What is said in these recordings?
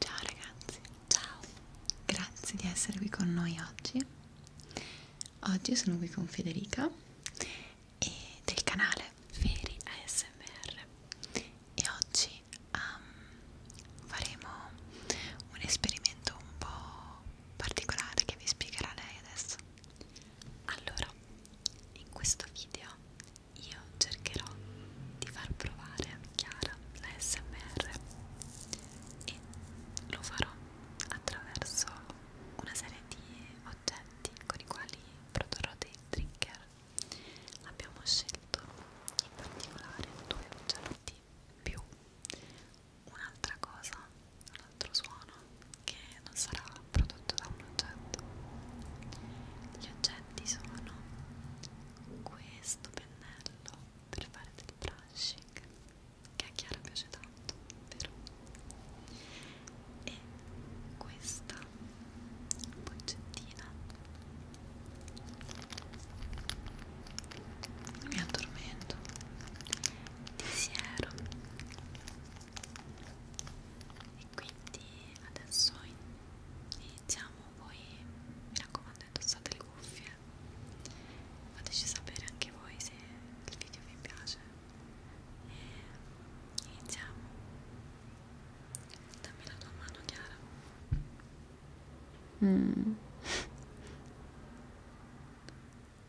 Ciao ragazzi, ciao, grazie di essere qui con noi oggi. Oggi sono qui con Federica e del canale Feri ASMR e oggi um, faremo un esperimento un po' particolare che vi spiegherà lei adesso. Allora, in questo video io cercherò di far provare a Chiara la SMR e lo farò attraverso una serie di oggetti con i quali produrrò dei trigger. Abbiamo scelto in particolare due oggetti più un'altra cosa, un altro suono che non sarà prodotto da un oggetto. Gli oggetti sono questo pennello per fare del brushing che a Chiara piace tanto, vero? E questa boccettina mi addormento pensiero e quindi adesso iniziamo voi mi raccomando indossate le cuffie fateci sapere anche voi se il video vi piace e iniziamo dammi la tua mano Chiara mm.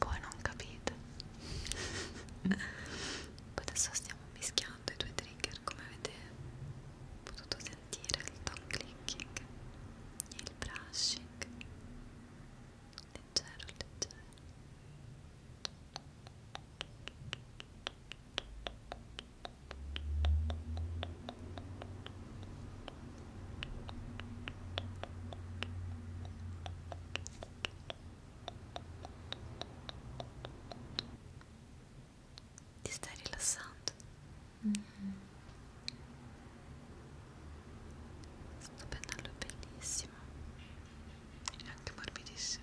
voi non capite adesso stiamo mischiando i due trigger come avete potuto sentire il tongue clicking e il brushing leggero leggero ti stai rilassando? Mm -hmm. Sto pennello è bellissimo e anche morbidissimo.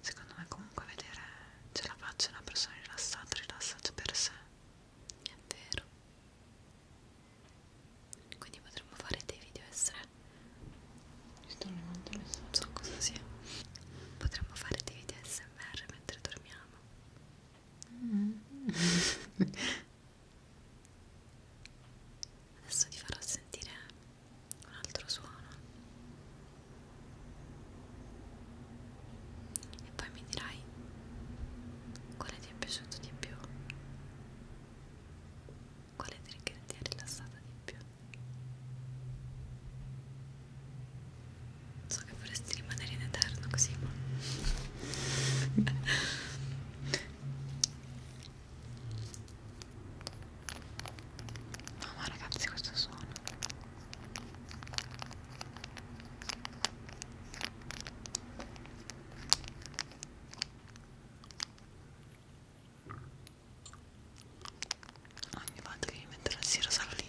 secondo me comunque vedere ce la faccia una persona rilassata rilassata per sé è vero quindi potremmo fare dei video essere Ci sto levando le non so cosa sia potremmo fare dei video smr mentre dormiamo mm. adesso ti farò sentire un altro suono e poi mi dirai quale ti è piaciuto di più quale trigger ti ha rilassata di più so che vorresti rimanere in eterno così ma Mamma ragazzi questo suono Ogni volta che mi metto la sera sarò lì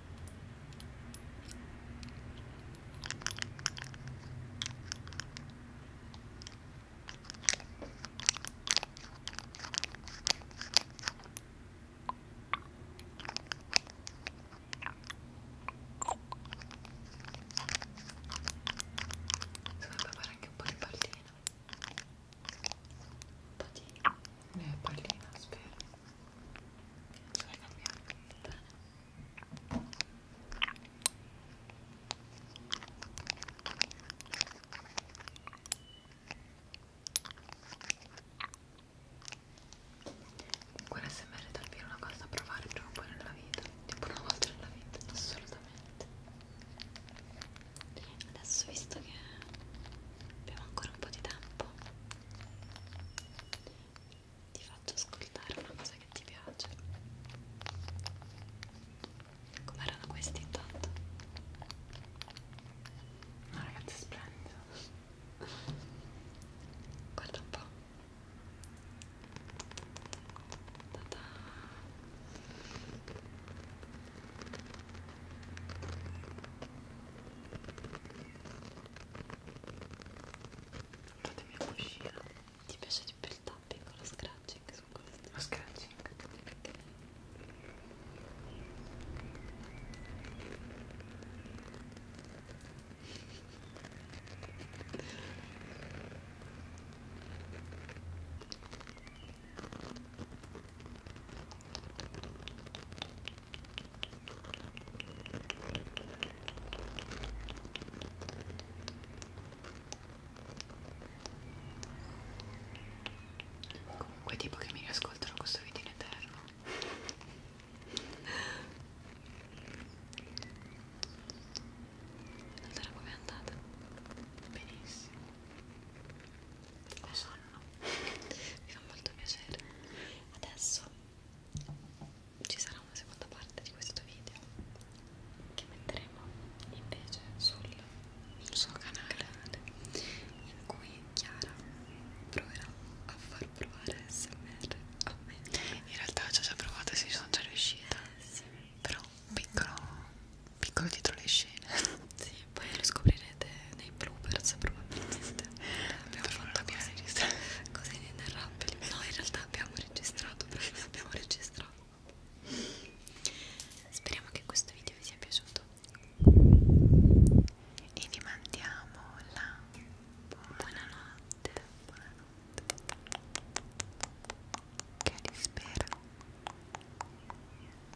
Dovrebbe fare anche un po' di pallina. Patina. Eh, pallina, spero ce la cambiamo bene comunque l'SMR è davvero una cosa da provare prima o poi nella vita tipo una volta nella vita, assolutamente adesso visto che abbiamo ancora un po' di tempo ti faccio ascoltare una cosa che ti piace com'erano questi intanto? ma no, ragazzi splendido guarda un po' Ta-da. Fatemi una uscire. Ti piace di più il tapping con lo scratching su questo? Lo scratching? Perché? Comunque tipo che mi riascoltano questo video in eterno Allora come è andata? Benissimo Lo so nonno mi fa molto piacere adesso ci sarà una seconda parte di questo video che metteremo invece sul suo canale, in cui Chiara proverà a far provare SMR a me in realtà ci ho già provato e ci sono già riuscita eh, sì. però un piccolo piccolo dietro le scene sì, poi lo scoprirete nei bloopers probabilmente abbiamo fatto cose, cose inenarrabili no in realtà abbiamo registrato perché ne abbiamo registrato speriamo che questo video vi sia piaciuto e vi mandiamo la buonanotte buonanotte che vi spero